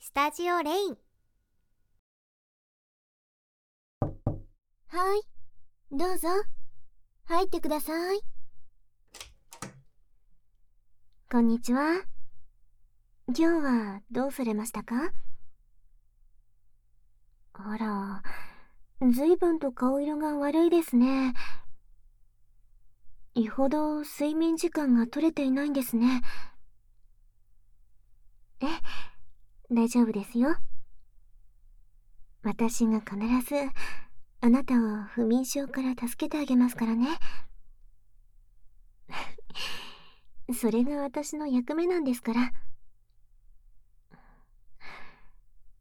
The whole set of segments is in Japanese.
スタジオレインはいどうぞ入ってくださいこんにちは今日はどうされましたかあらずいぶんと顔色が悪いですねよほど睡眠時間が取れていないんですね。え、大丈夫ですよ。私が必ず、あなたを不眠症から助けてあげますからね。それが私の役目なんですから。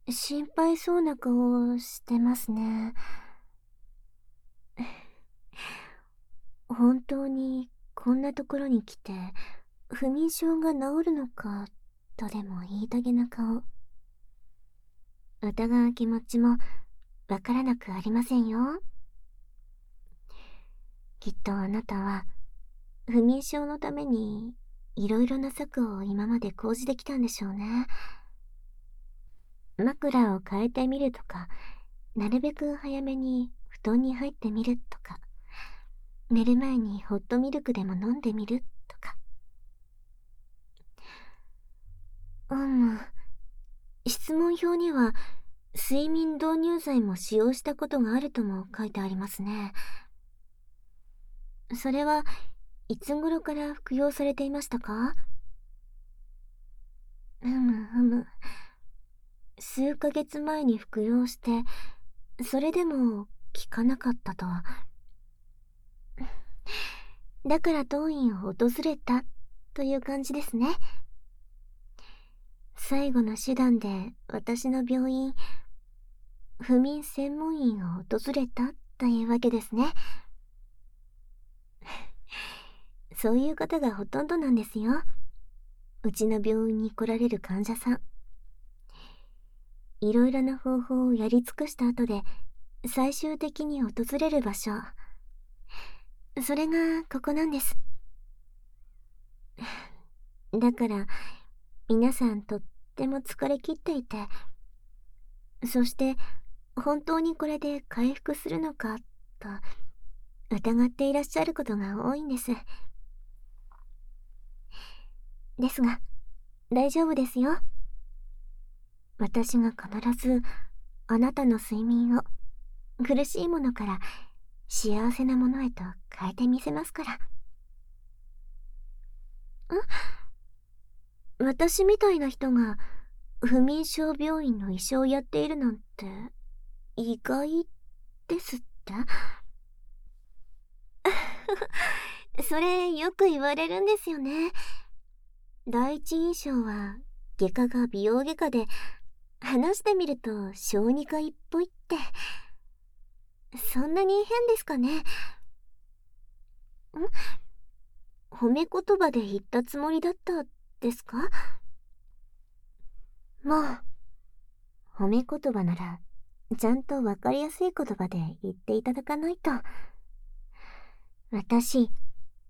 心配そうな顔をしてますね。本当にこんなところに来て不眠症が治るのかとでも言いたげな顔疑う気持ちもわからなくありませんよきっとあなたは不眠症のためにいろいろな策を今まで講じてきたんでしょうね枕を変えてみるとかなるべく早めに布団に入ってみるとか寝る前にホットミルクでも飲んでみるとかうん質問票には睡眠導入剤も使用したことがあるとも書いてありますねそれはいつ頃から服用されていましたかふむふむ数ヶ月前に服用してそれでも効かなかったとだから当院を訪れたという感じですね最後の手段で私の病院不眠専門院を訪れたというわけですね そういう方がほとんどなんですようちの病院に来られる患者さんいろいろな方法をやり尽くした後で最終的に訪れる場所それがここなんですだから皆さんとっても疲れきっていてそして、本当にこれで回復するのか、と、疑っていらっしゃることが多いんです。ですが、大丈夫ですよ。私が必ず、あなたの睡眠を、苦しいものから幸せなものへと変えてみせますから。ん私みたいな人が不眠症病院の医者をやっているなんて意外ですって それよく言われるんですよね。第一印象は外科が美容外科で話してみると小児科医っぽいって。そんなに変ですかねん褒め言葉で言ったつもりだったですかもう、褒め言葉なら、ちゃんと分かりやすい言葉で言っていただかないと。私、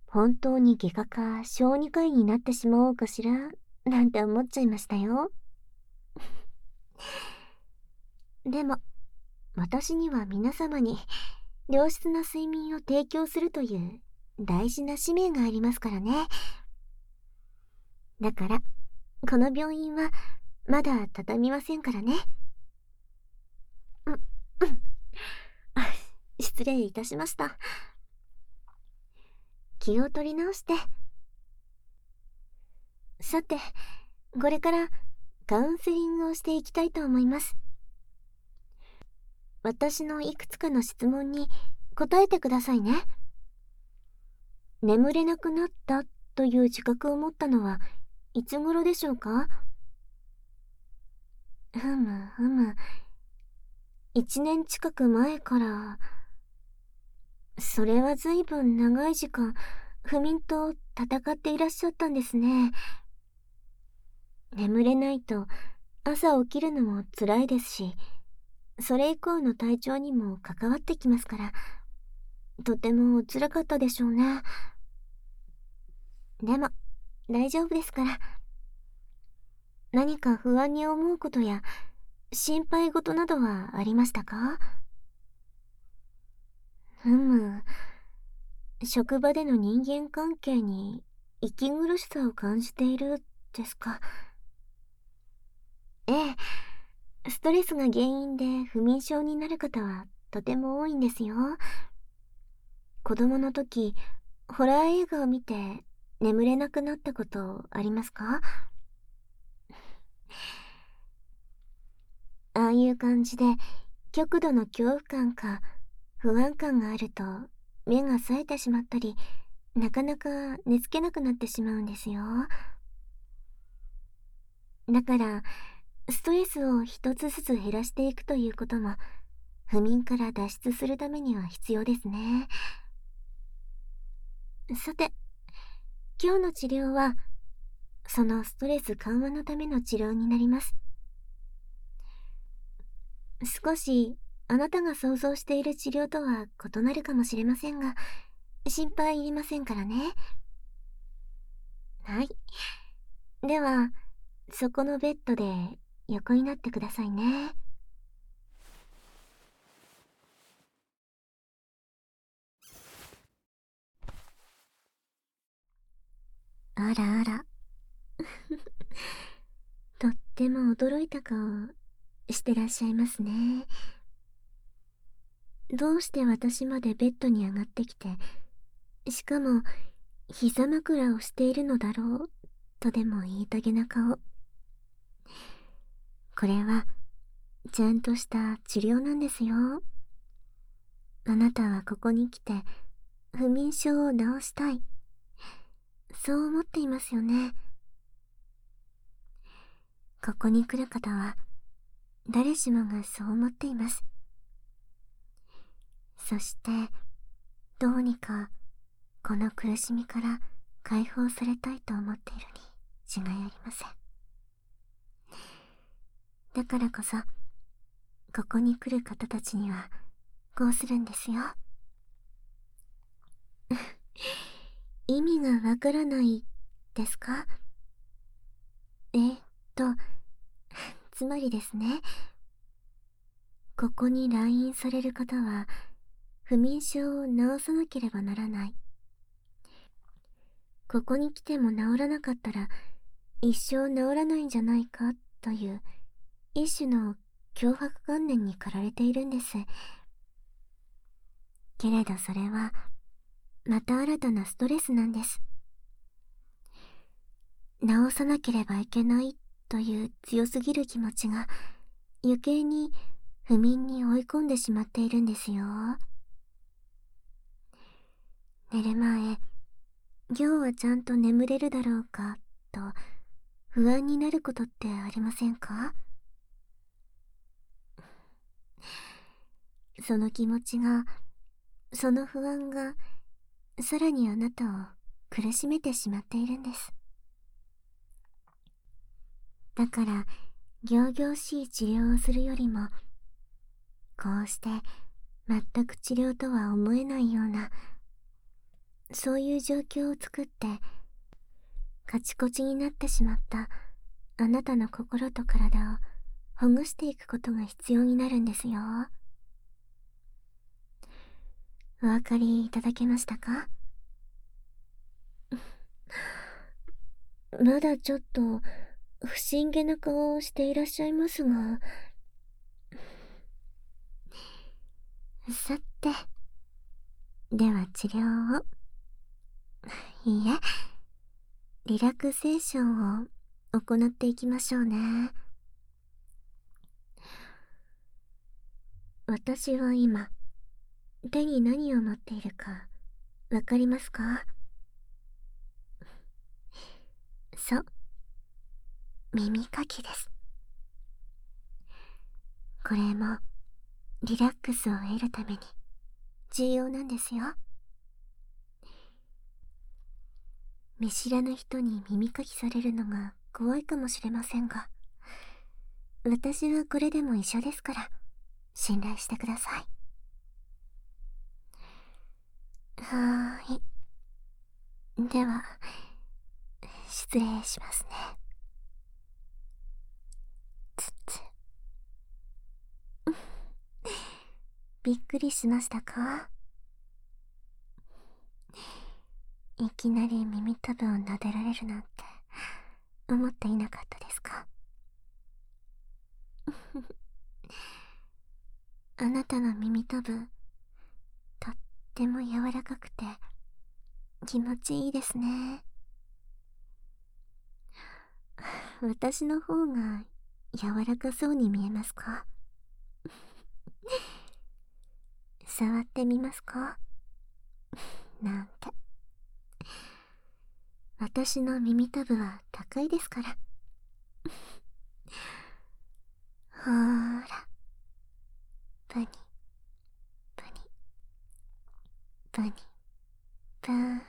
本当に外科か小児科医になってしまおうかしら、なんて思っちゃいましたよ。でも、私には皆様に良質な睡眠提供するという大事な使命がありますからね。だから、この病院はまだ畳みませんからね。う、うん。失礼いたしました。気を取り直して。さて、これからカウンセリングをしていきたいと思います。私のいくつかの質問に答えてくださいね。眠れなくなったという自覚を持ったのはいつ頃でしょうかふむふむ。一年近く前から、それは随分長い時間、不眠と戦っていらっしゃったんですね。眠れないと朝起きるのも辛いですし、それ以降の体調にも関わってきますから、とてもお辛かったでしょうね。でも、大丈夫ですから。何か不安に思うことや、心配事などはありましたかふむ、職場での人間関係に息苦しさを感じているですかええストレスが原因で不眠症になる方はとても多いんですよ子供の時ホラー映画を見て眠れなくなったことありますか ああいう感じで極度の恐怖感か不安感があると目が冴えてしまったりなかなか寝つけなくなってしまうんですよだからストレスを一つずつ減らしていくということも不眠から脱出するためには必要ですねさて今日の治療はそのストレス緩和のための治療になります少しあなたが想像している治療とは異なるかもしれませんが心配いりませんからねはいではそこのベッドで横になってくださいねあらあら。とっても驚いた顔してらっしゃいますね。どうして私までベッドに上がってきて、しかも膝枕をしているのだろうとでも言いたげな顔。これは、ちゃんとした治療なんですよ。あなたはここに来て不眠症を治したいそう思っていますよねここに来る方は誰しもがそう思っていますそしてどうにかこの苦しみから解放されたいと思っているに違いありませんだからこそ、ここに来る方たちには、こうするんですよ。意味がわからないですかえー、っと、つまりですね、ここに来院される方は、不眠症を治さなければならない。ここに来ても治らなかったら、一生治らないんじゃないかという一種の脅迫観念に駆られているんですけれどそれはまた新たなストレスなんです治さなければいけないという強すぎる気持ちが余計に不眠に追い込んでしまっているんですよ寝る前今日はちゃんと眠れるだろうかと不安になることってありませんか その気持ちがその不安がさらにあなたを苦しめてしまっているんですだから仰々しい治療をするよりもこうして全く治療とは思えないようなそういう状況を作ってカチコチになってしまったあなたの心と体をほぐしていくことが必要になるんですよお分かりいただけましたか まだちょっと不思議な顔をしていらっしゃいますがさてでは治療を いいえリラクゼーションを行っていきましょうね私は今手に何を持っているかわかりますかそう耳かきですこれもリラックスを得るために重要なんですよ見知らぬ人に耳かきされるのが怖いかもしれませんが私はこれでも一緒ですから信頼してくださいはーい。では、失礼しますね。つつ。びっくりしましたかいきなり耳たぶを撫でられるなんて、思っていなかったですか あなたの耳たぶとっても柔らかくて気持ちいいですね 私の方が柔らかそうに見えますか 触ってみますかなんて私の耳たぶは高いですからほーらプニプニプニプニ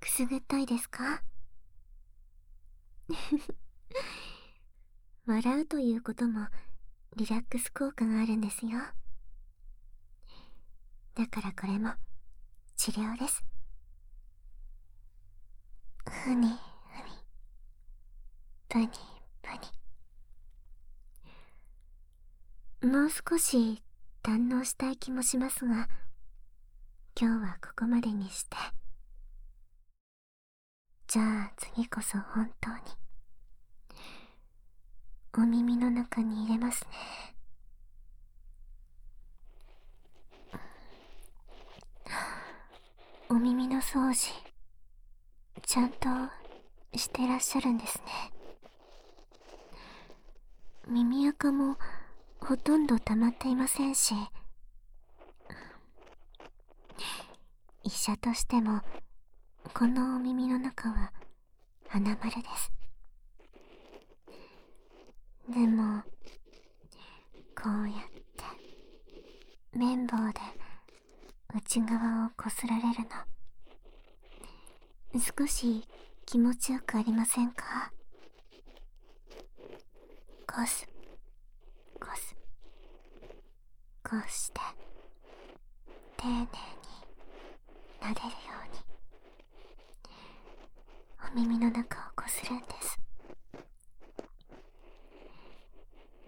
くすぐったいですか 笑うということもリラックス効果があるんですよだからこれも治療です。ふにふに、ぷにぷに。もう少し堪能したい気もしますが、今日はここまでにして。じゃあ次こそ本当に。お耳の中に入れますね。お耳の掃除、ちゃんとしてらっしゃるんですね。耳垢もほとんど溜まっていませんし、医者としても、このお耳の中は花丸です。でも、こうやって綿棒で内側をこすられるの。少し気持ちよくありませんかこす、こす、こうして、丁寧に撫でるように。お耳の中をこするんです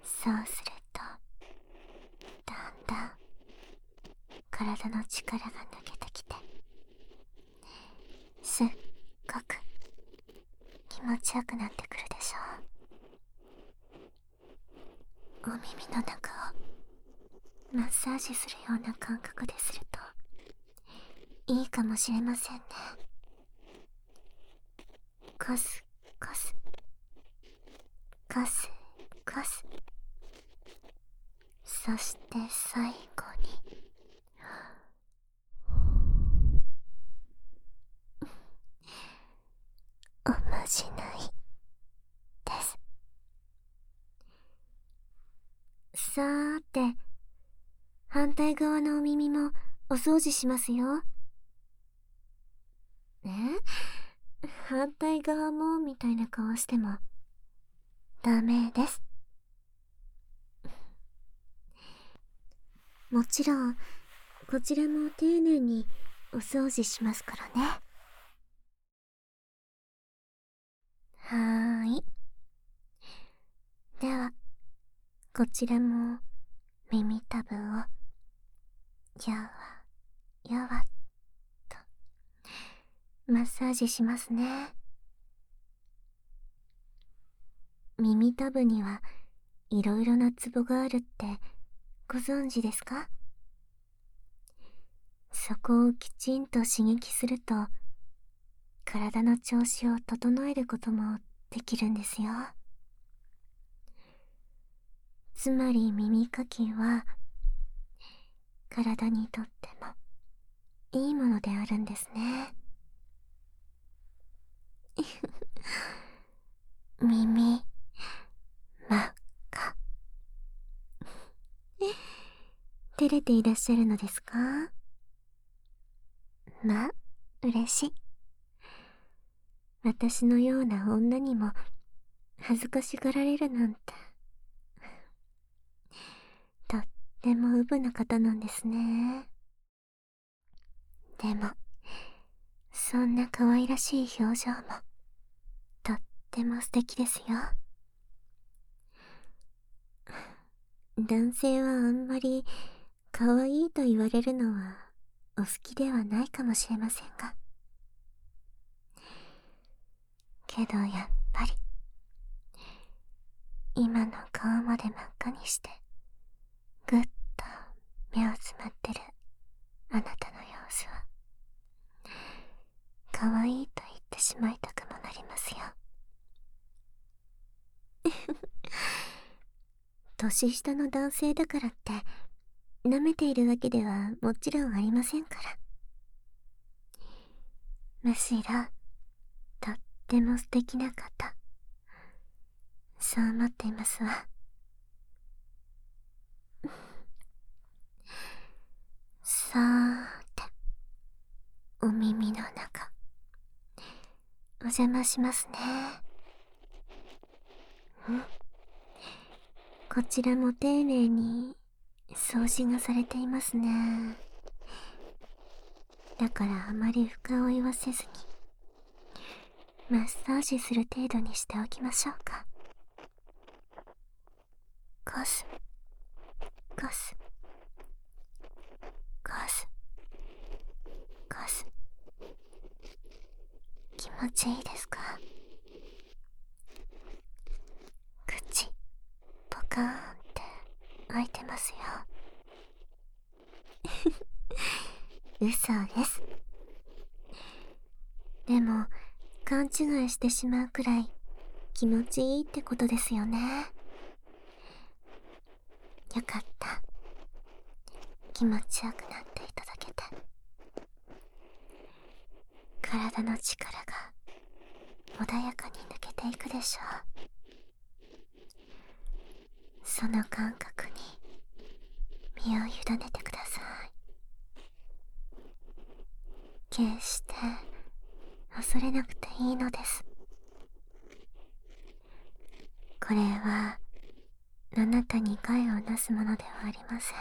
そうするとだんだん体の力が抜けてきてすっごく気持ちよくなってくるでしょうお耳の中をマッサージするような感覚でするといいかもしれませんねカスカスカスカスそして最後に おまじないですさーて、反対側のお耳もお掃除しますよ。え 反対側もみたいな顔しても、ダメです。もちろん、こちらも丁寧にお掃除しますからね。はーい。では、こちらも耳たぶを、やわ、やわ、っと、マッサージしますね。耳たぶには、いろいろなツボがあるって、ご存知ですかそこをきちんと刺激すると体の調子を整えることもできるんですよつまり耳かきは体にとってもいいものであるんですね 耳真っ赤。照れていらっしゃるのですかまあ、嬉しい。私のような女にも恥ずかしがられるなんて。とってもうぶな方なんですね。でも、そんな可愛らしい表情も、とっても素敵ですよ。男性はあんまり可愛いと言われるのはお好きではないかもしれませんが。けどやっぱり、今の顔まで真っ赤にして、ぐっと目をつまってるあなたの様子は、可愛いと言ってしまいたくもなりますよ。年下の男性だからって、舐めているわけではもちろんありませんから。むしろ、とっても素敵な方。そう思っていますわ。さーてお耳の中お邪魔しますねこちらも丁寧に掃除がされていますねだからあまり深追いはせずにマッサージする程度にしておきましょうかガスガスガスガス気持ちいいですか口ポカーンって開いてますよ 嘘ですでも、勘違いしてしまうくらい気持ちいいってことですよね。よかった。気持ちよくなっていただけて。体の力が穏やかに抜けていくでしょう。その感覚に身を委ねてください。決して恐れなくていいのです。これは、あなたに害をなすものではありません。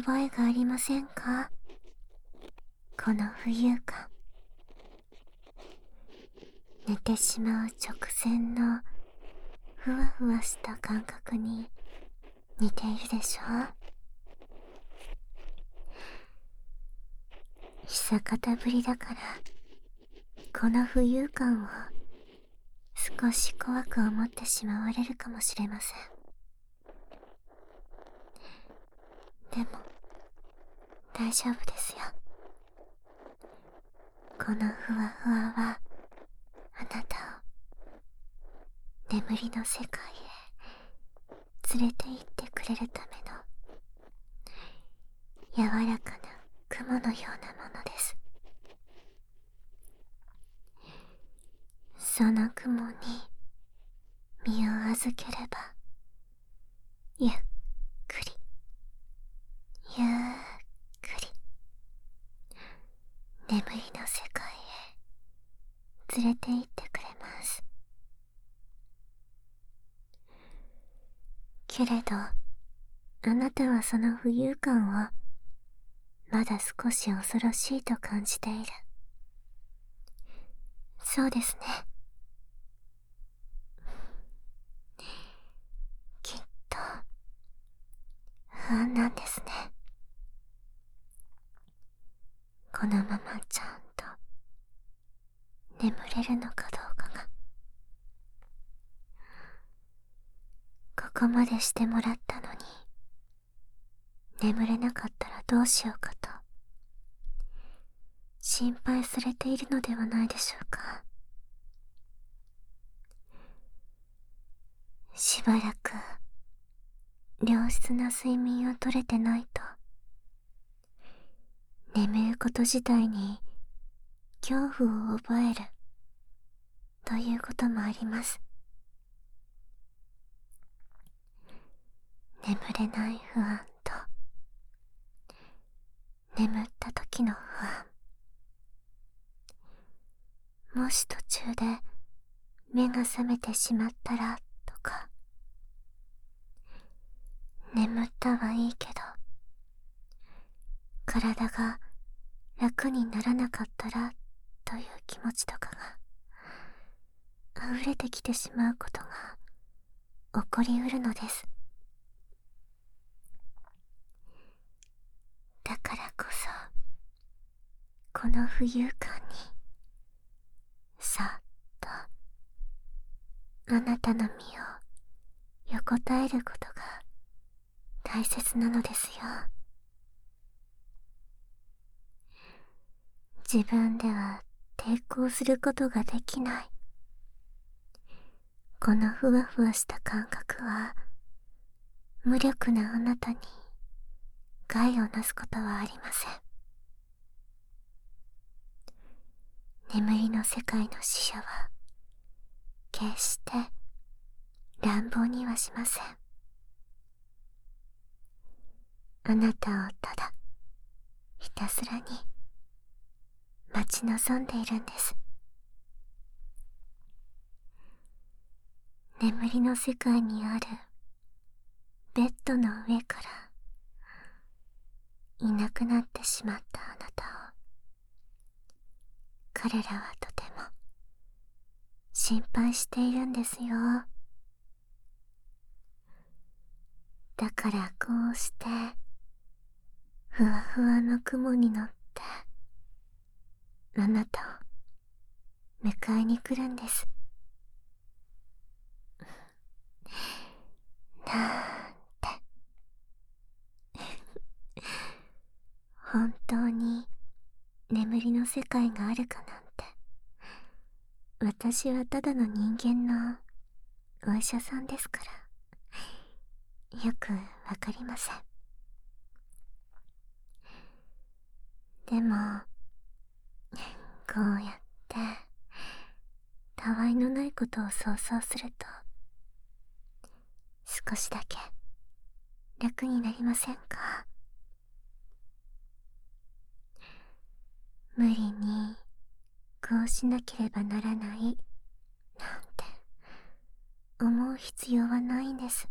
覚えがありませんかこの浮遊感。寝てしまう直前のふわふわした感覚に似ているでしょ久方ぶりだからこの浮遊感を少し怖く思ってしまわれるかもしれませんでも大丈夫ですよこのふわふわはあなたを眠りの世界へ連れて行ってくれるための柔らかな雲のようなものですその雲に身を預ければゆっくりゆっくり眠りの世界へ連れて行ってくれますけれどあなたはその浮遊感をまだ少し恐ろしいと感じているそうですねきっと不安なんですねこのままちゃんと眠れるのかどうかがここまでしてもらったのに眠れなかったらどうしようかと心配されているのではないでしょうかしばらく、良質な睡眠をとれてないと、眠ること自体に恐怖を覚える、ということもあります。眠れない不安と、眠った時の不安。もし途中で目が覚めてしまったらとか。眠ったはいいけど、体が楽にならなかったらという気持ちとかが、溢れてきてしまうことが起こりうるのです。だからこそこの浮遊感にさっとあなたの身を横たえることが大切なのですよ自分では抵抗することができないこのふわふわした感覚は無力なあなたに害をなすことはありません眠りの世界の死者は決して乱暴にはしませんあなたをただひたすらに待ち望んでいるんです眠りの世界にあるベッドの上からいなくなってしまったあなたを彼らはとても心配しているんですよだからこうしてふわふわの雲に乗ってあなたを迎えに来るんですなんて本当に眠りの世界があるかなんて私はただの人間のお医者さんですからよくわかりませんでもこうやってたわいのないことを想像すると少しだけ楽になりませんか無理にこうしなければならないなんて思う必要はないんです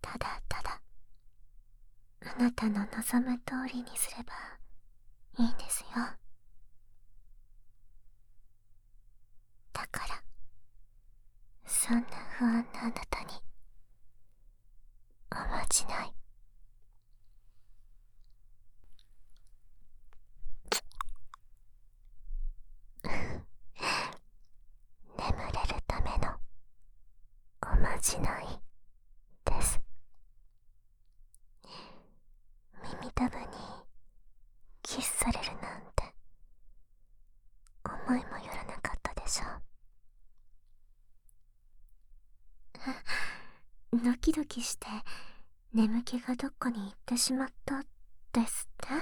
ただただあなたの望む通りにすればいいんですよだからそんな不安なあなたにおまじない 眠れるためのおまじないです耳たぶにキスされるなんて思いもよらなかったでしょうドキドキして眠気がどっかに行ってしまったですって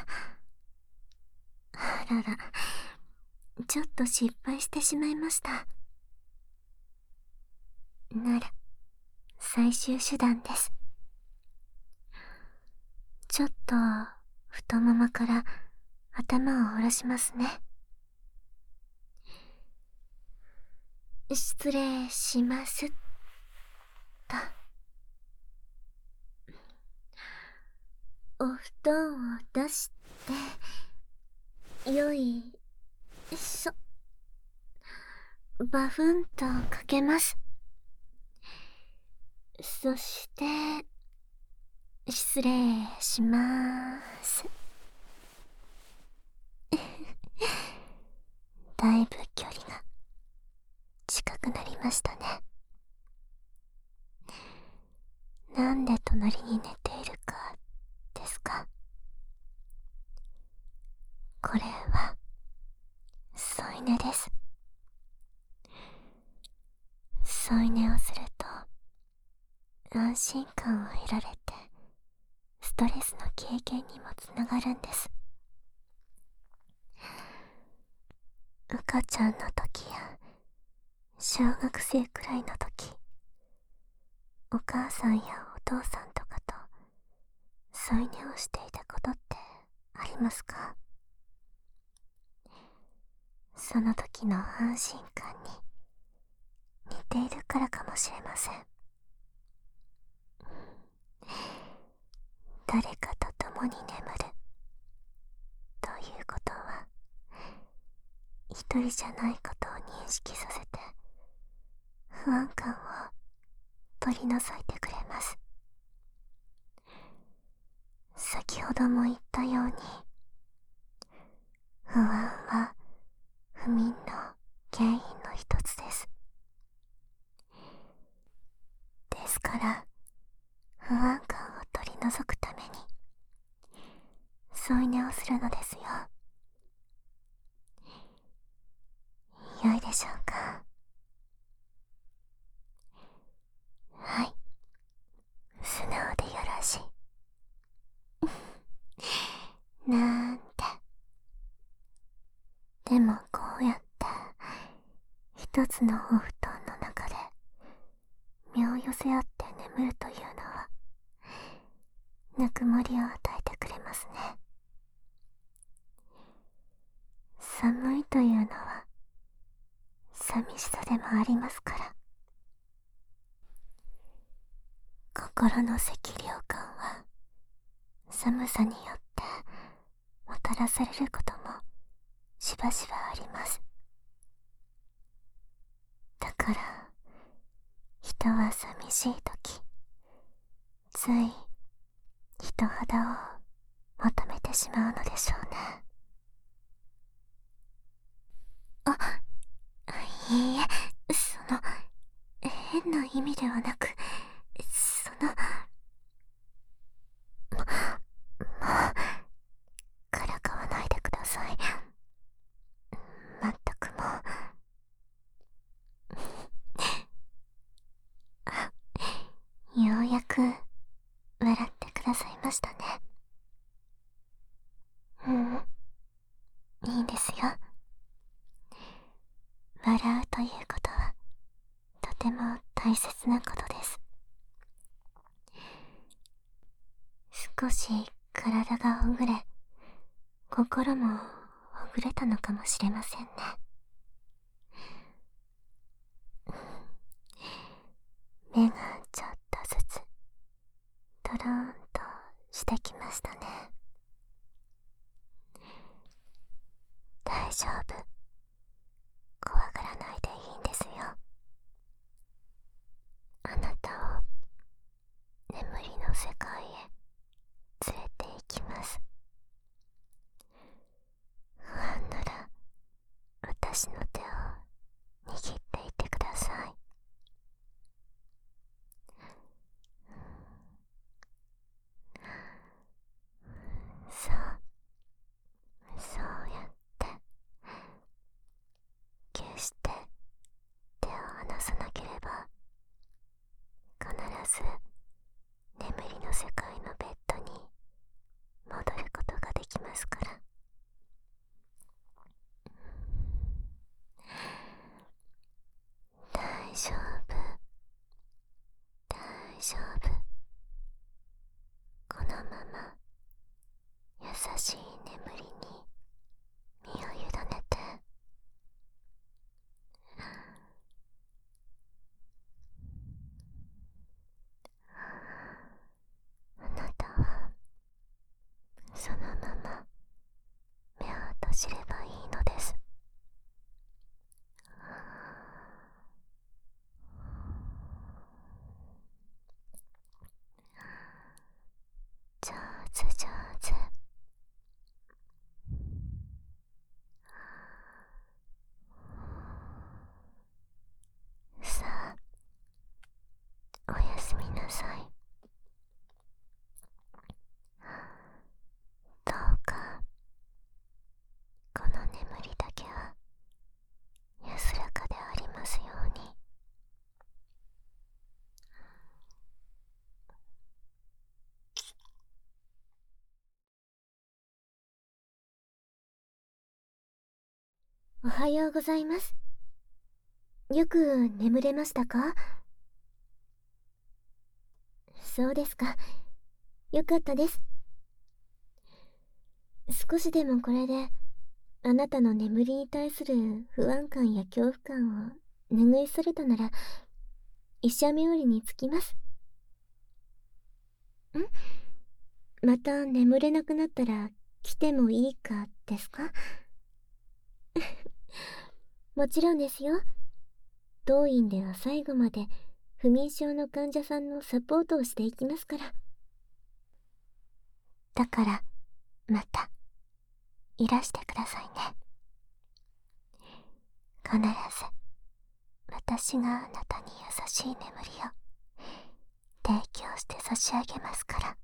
あららちょっと失敗してしまいましたなら最終手段ですちょっと太ももから頭を下ろしますね失礼しますと。お布団を出して、よい、しょ、バフンとかけます。そして、失礼しまーす。だいぶ距離が近くなりましたね。なんで隣に寝ているかですかこれは添い寝です添い寝をすると安心感を得られてストレスの経験にもつながるんです赤ちゃんの時や小学生くらいの時お母さんやお父さんとかと添い寝をしていたことってありますかその時の安心感に似ているからかもしれません誰かと共に眠るということは一人じゃないことを認識させて不安感を取り除いてくれます先ほども言ったように不安は不眠の原因の一つですですから不安感を取り除くために添い寝をするのですよよいでしょうかはい素直でよろしいなんてでもこうやって一つのお布団の中で身を寄せ合って眠るというのはぬくもりを与えてくれますね寒いというのは寂しさでもありますから心の赤涼感は寒さによってもたらされることもしばしばありますだから人は寂しい時つい人肌を求めてしまうのでしょうねあいいえその変な意味ではなく、その、も、もう、からかわないでください。まったくもう。あ、ようやく、笑ってくださいましたね。うん。いいんですよ。笑うということは、とても大切なことです。少し体がほぐれ、心もほぐれたのかもしれませんね。目がちょっとずつ、とろーんとしてきましたね。大丈夫怖がらないでいいんですよあなたを眠りの世界へ連れて行きます不安なら私の手を握っていてくださいそうそうやって決して手を離さなければ必ず眠りの世界のベッドに戻ることができますから。大丈夫大丈夫このまま優しい眠りに身を委ねてあなたはそのまま目を閉じればいいのです上手上手さあおやすみなさいどうかこの眠りだけは安らかでありますようにおはようございますよく眠れましたかそうですか。よかったです。少しでもこれで、あなたの眠りに対する不安感や恐怖感を拭い去るたなら、医者冥利につきます。んまた眠れなくなったら来てもいいかですか もちろんですよ当院では最後まで不眠症の患者さんのサポートをしていきますからだからまたいらしてくださいね必ず私があなたに優しい眠りを提供して差し上げますから。